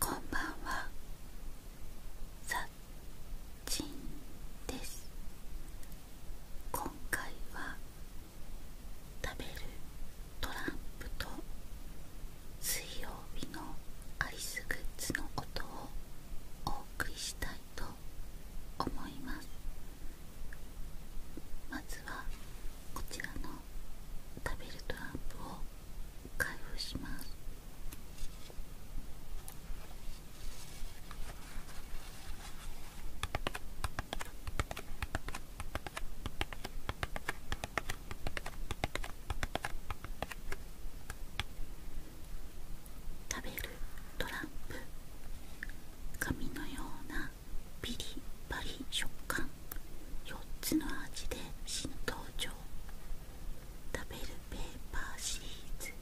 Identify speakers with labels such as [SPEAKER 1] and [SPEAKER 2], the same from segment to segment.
[SPEAKER 1] こんばんはさっです今回は食べるトランプと水曜日のアイスグッズの音をお送りしたいと思いますまずはこちらの食べるトランプを開封します食べるトランプ紙のようなピリッパリ食感4つの味で新登場食べるペーパーシリーズ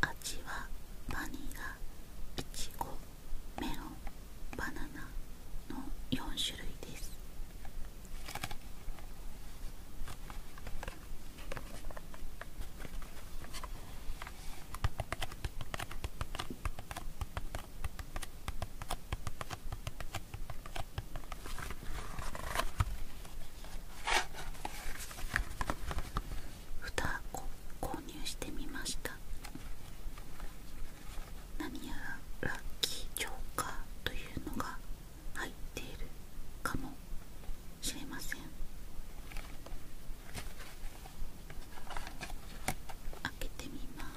[SPEAKER 1] 味はバニラいちごメロンバナナの4種類ですふたを購入してみました何やらラッキーチョーカーというのが入っているかもしれません開けてみます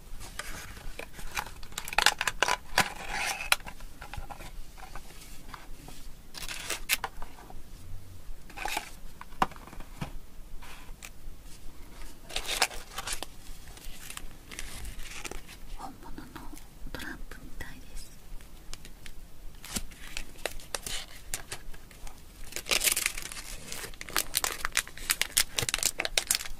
[SPEAKER 1] 本物のトランプみたいです。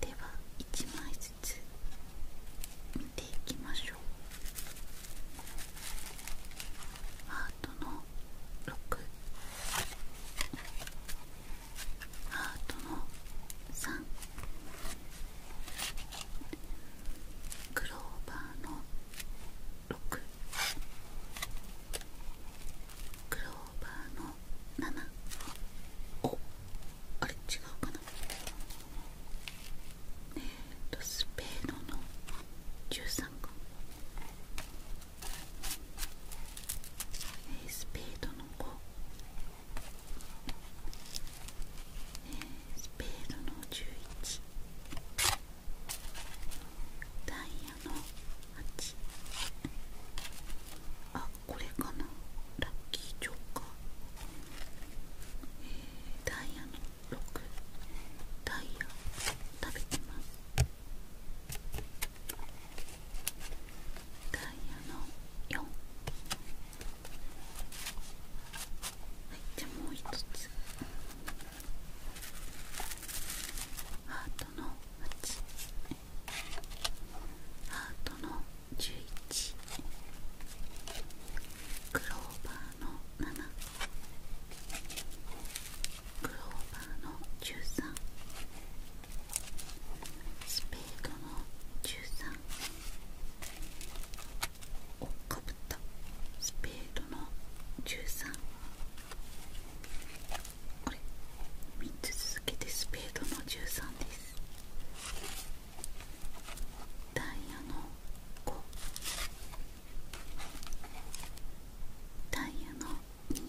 [SPEAKER 1] では一枚ずつ。見ていきましょうハートの6ハートの3クローバーの6クローバーの7おあれ違うかなえっとスペードの十三。か、えスペードの五。えー、スペードの十一。ダイヤの八。あこれかなラッキーチョーカー、えダイヤの6ダイヤ食べてますダイヤの4はいじゃあもう一つハートの8ハートの11クローバーの7クローバーの13スペードの13おっかぶったスペードの13これ3つ続けてスペードの13ですダイヤの5ダイヤの2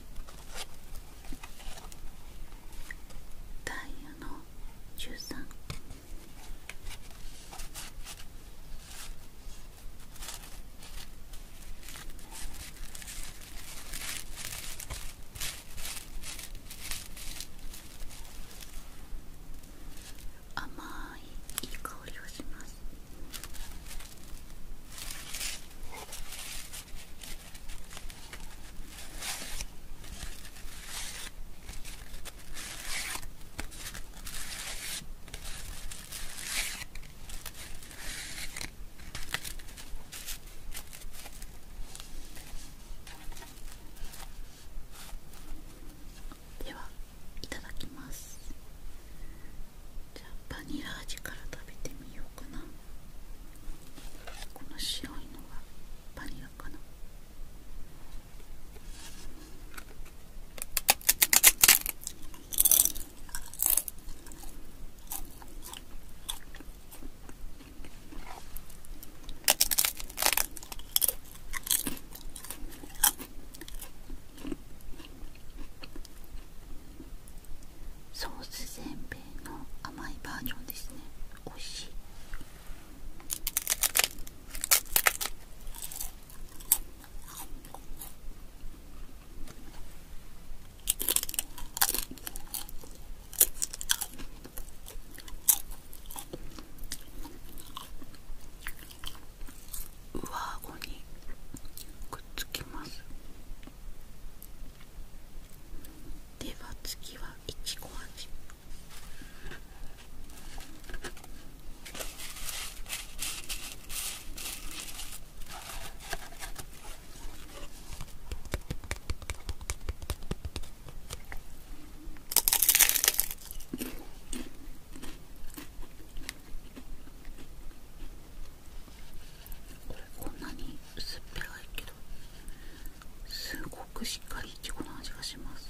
[SPEAKER 1] ダイヤの13ダイヤの14甘いいい香りをしますではいただきますじゃあバニラ味から食べてみようかなこの白いのがバニラかなソース全米の甘いバージョンですね美味しい上顎にくっつきますでは次はいちご味こんなに薄っぺらいけどすごくしっかりいちごの味がします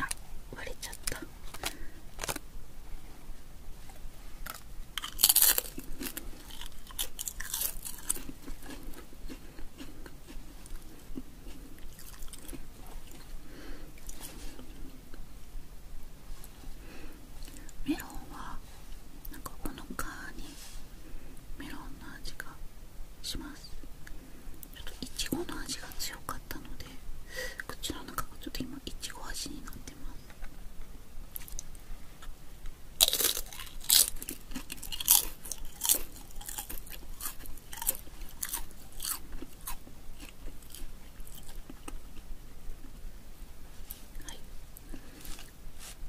[SPEAKER 1] あ割れちゃったメロンはなんかこのかにメロンの味がしますますちょっといちごの味が強かったので口の中がちょっと今いちご味になってます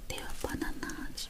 [SPEAKER 1] ではバナナ味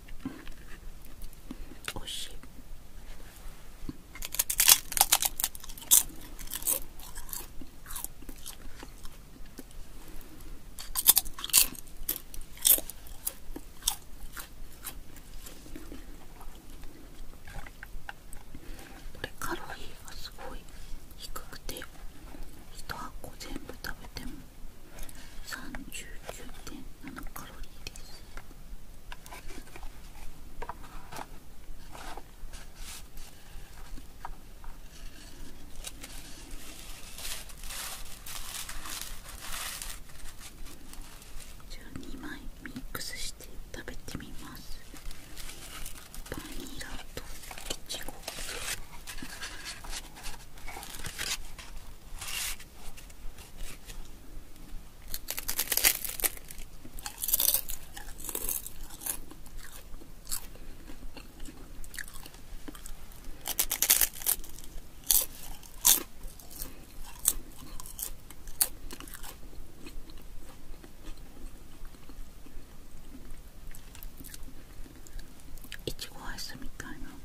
[SPEAKER 1] おいしいこれカロリーがすごい低くて1箱全部食べても39.7カロリーですじゃあ2枚ミックスして食べてみますバニラとイチゴ。いちごアイスみたいな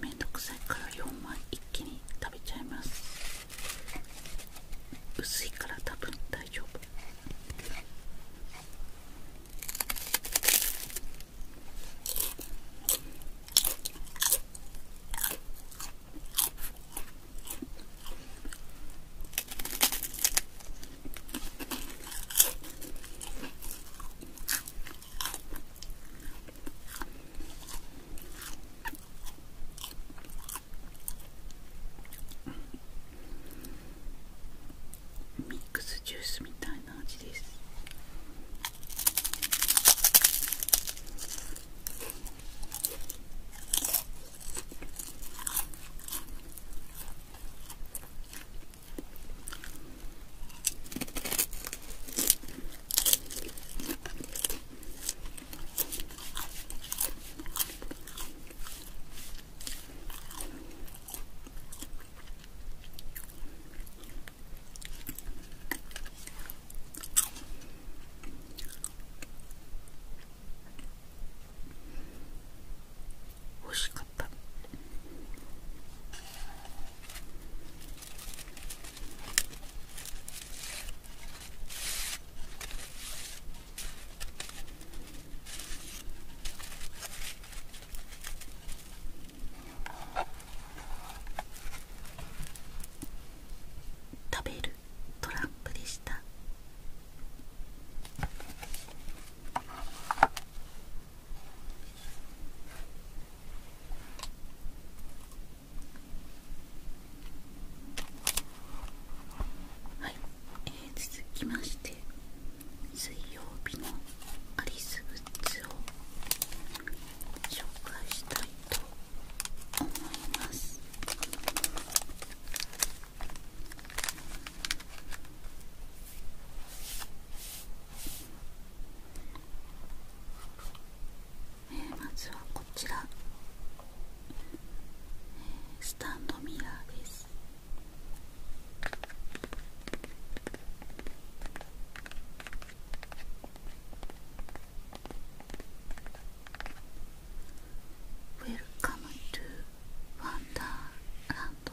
[SPEAKER 1] めんどくさいから4枚一気に食べちゃいます薄いから多分大丈夫ミックスジュースみたいな味です美味しかった。食べるトランプでした。はい、えー、続きまして水曜日のアリスグッズを紹介したいと思いますえまずはこちら、スタンドミラーです「ウェルカムトゥワンダー n ンド。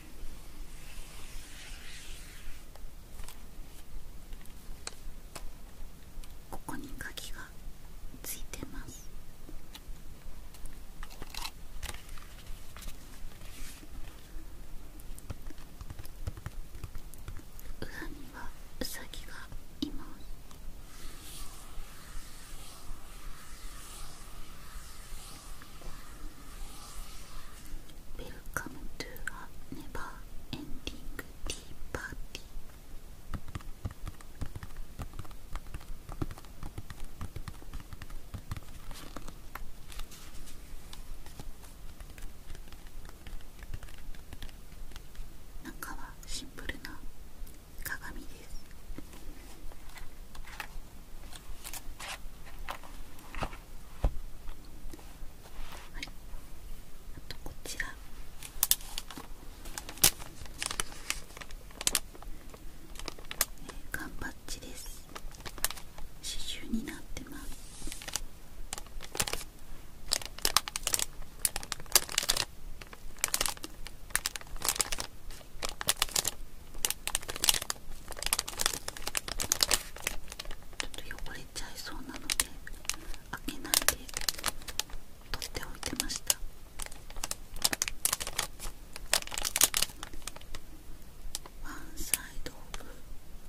[SPEAKER 1] ここに鍵がついてます裏にはウサギがいます Welcome to a never-ending tea party. 中はシンプルな鏡です。はい、あとこちら缶、えー、バッチです刺繍になってますちょっと汚れちゃいそうなので開けないで取っておいてましたワンサイドオブ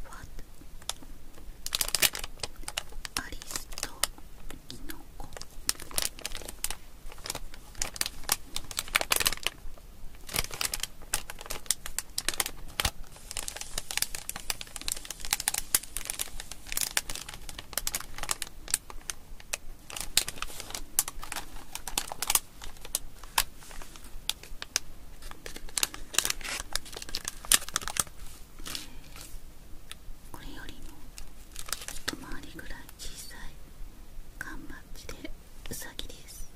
[SPEAKER 1] ワッアリスとキノコこれよりもと回りぐらい小さい缶バッジでうさぎです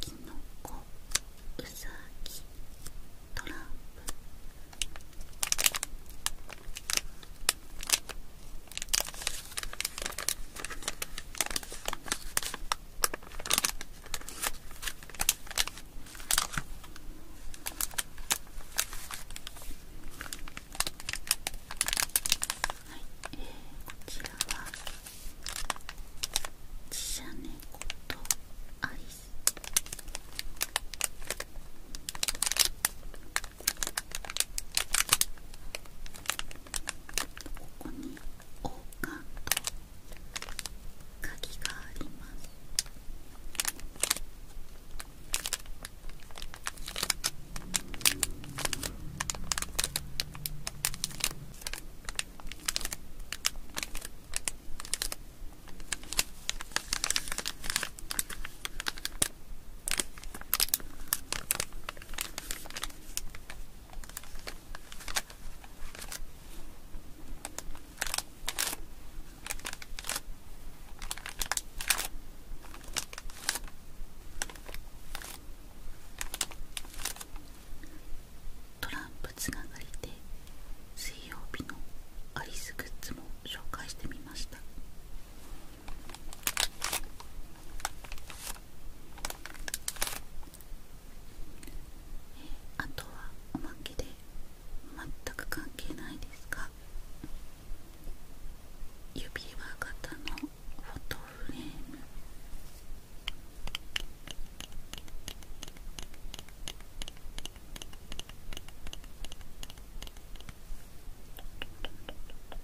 [SPEAKER 1] きのこうさぎトランプえー、こちらは自社猫とアリスここに王冠と鍵がありますトランプつながりで水曜日のアリスグッズも紹介してみましたえ、あとはおまけで全く関係ないですが指輪型のフォトフレームこ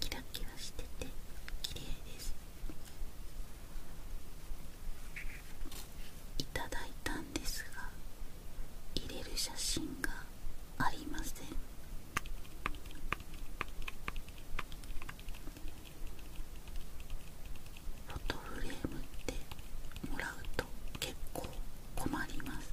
[SPEAKER 1] キラキラしてて綺麗ですいただいたんですが入れる写真がありませんフォトフレームってもらうと結構困ります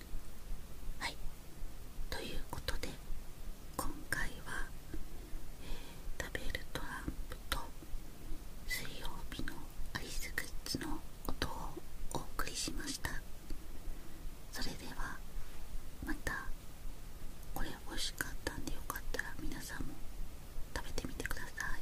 [SPEAKER 1] はいということで今回は、え食べるトランプと水曜日のアリスグッズの音をお送りしましたそれではまたこれ美味しかったんでよかったら皆さんも食べてみてください